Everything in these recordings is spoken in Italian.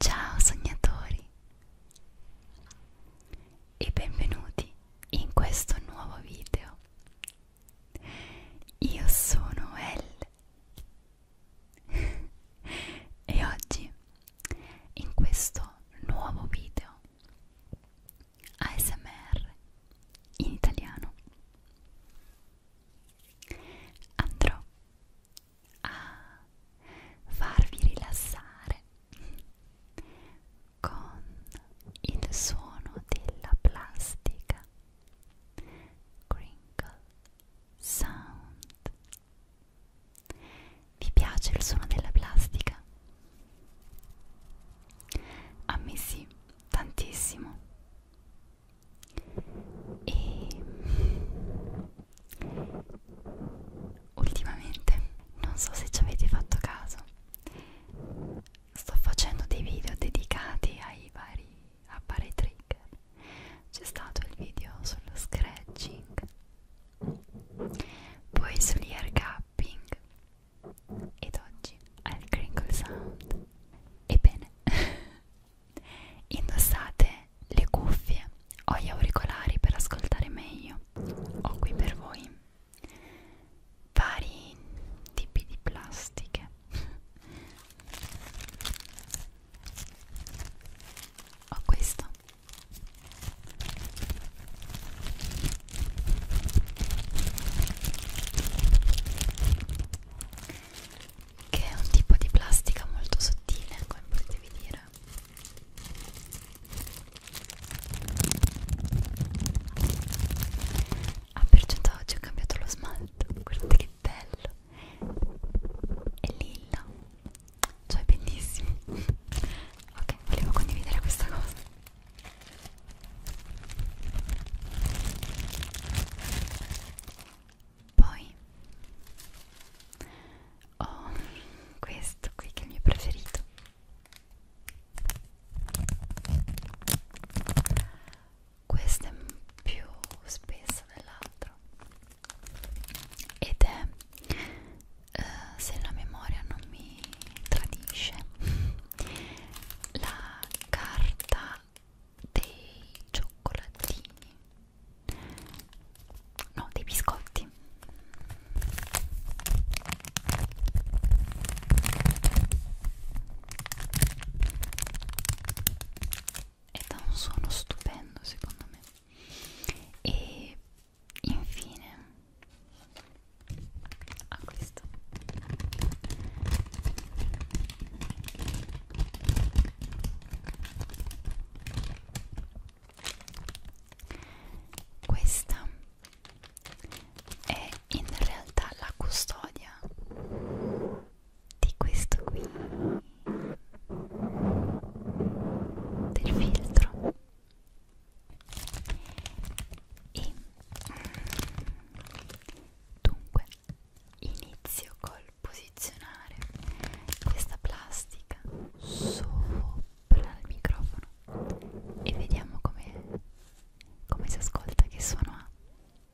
Ciao sognatori e benvenuti in questo nuovo video. Io sono Elle e oggi in questo nuovo video ASMR in italiano andrò a farvi rilassare con il suono della plastica crinkle sound vi piace il suono della plastica? a me sì, tantissimo e ultimamente non so se ci avete fatto caso sto facendo dei video dedicati ai vari appare i trigger c'è stato il video sullo scratching poi sull'ear gapping ed oggi al crinkle sound ebbene indossate le cuffie o gli auricolari per ascoltare meglio ho qui per voi vari tipi di plastiche ho questo che è un tipo di plastica molto sottile come potevi dire ah per certo oggi ho cambiato lo smalto guardate che bello è lilla cioè bellissimo ok volevo condividere questa cosa poi ho questo qui che è il mio preferito questo è più spesso dell'altro ed è eh, se la memoria non mi tradisce la carta dei cioccolatini no dei biscotti ed ha un suono stupendo secondo me e infine a ah, questo questa è in realtà la custodia di questo qui del filtro e mm, dunque inizio col posizionare questa plastica sopra il microfono e vediamo come come si ascolta che suono ha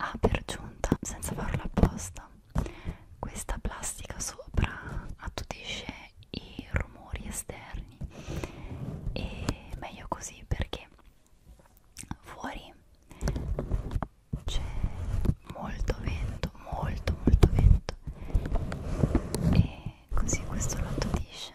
Ah, per giunta, senza farlo apposta, questa plastica sopra attutisce i rumori esterni e meglio così perché fuori c'è molto vento molto molto vento e così questo lo attutisce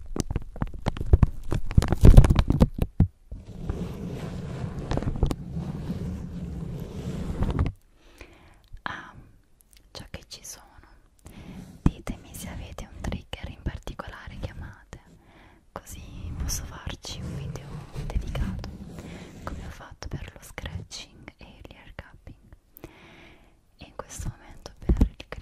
Ah, già che ci sono, ditemi se avete un trigger in particolare che amate, così posso farci un video dedicato, come ho fatto per lo scratching e l'air cupping. E in questo momento per il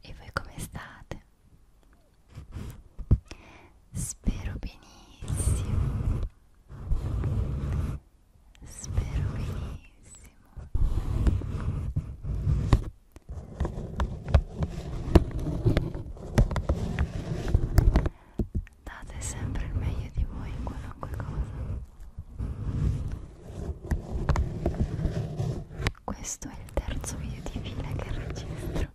E voi come state? Spero benissimo. Spero benissimo. Date sempre il meglio di voi in qualunque cosa. Questo è il terzo video di fila che registro.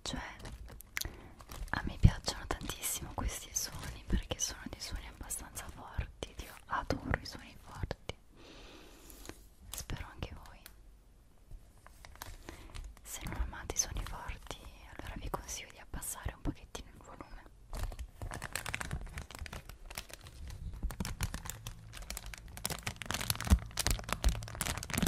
cioè a me piacciono tantissimo questi suoni perché sono dei suoni abbastanza forti io adoro i suoni forti spero anche voi se non amate i suoni forti allora vi consiglio di abbassare un pochettino il volume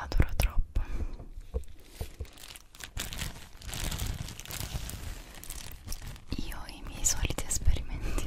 Adoro troppo. Io ho i miei soliti esperimenti.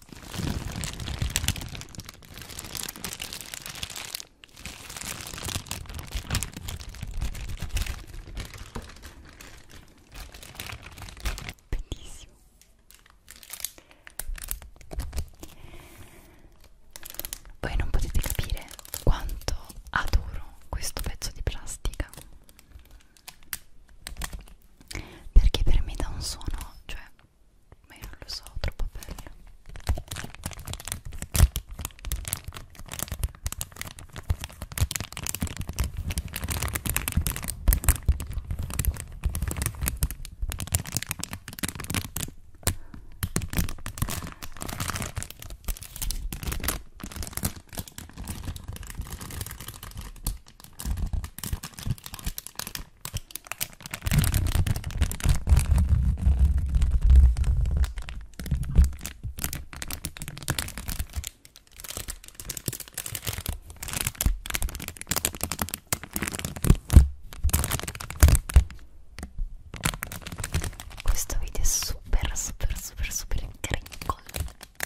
Bellissimo. Voi non potete capire quanto adoro questo pezzo di plastica perché per me dà un suono, cioè, ma io non lo so, troppo bello. Questo video è super super super super grincolo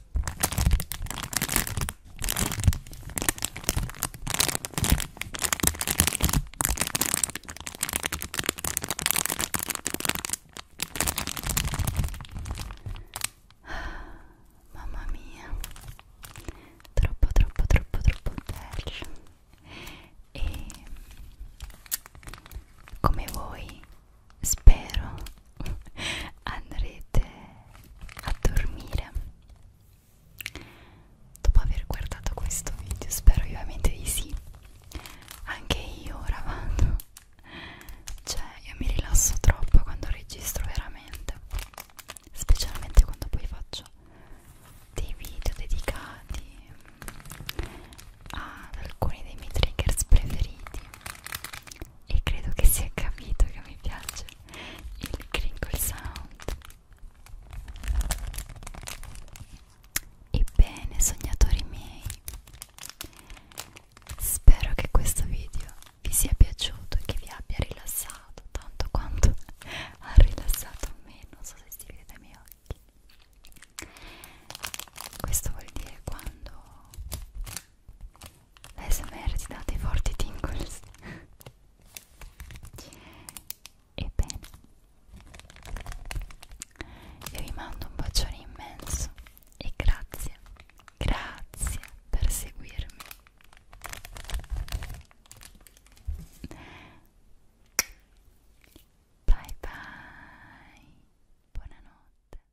Mamma mia, troppo troppo troppo troppo bello e come voi spero andrete a dormire dopo aver guardato questo video spero ovviamente di sì anche io ora vado cioè io mi rilasso troppo quando registro veramente specialmente quando poi faccio dei video dedicati ad alcuni dei miei triggers preferiti e credo che sia capito che mi piace il crinkle sound ebbene sognatori miei spero che questo video vi sia piaciuto e che vi abbia rilassato tanto quanto ha rilassato me non so se si vede dai miei occhi questo vuol dire quando l'ASMR ti dà dei forti tingles ebbene io vi mando un bacione immenso e grazie grazie per seguirmi bye bye buonanotte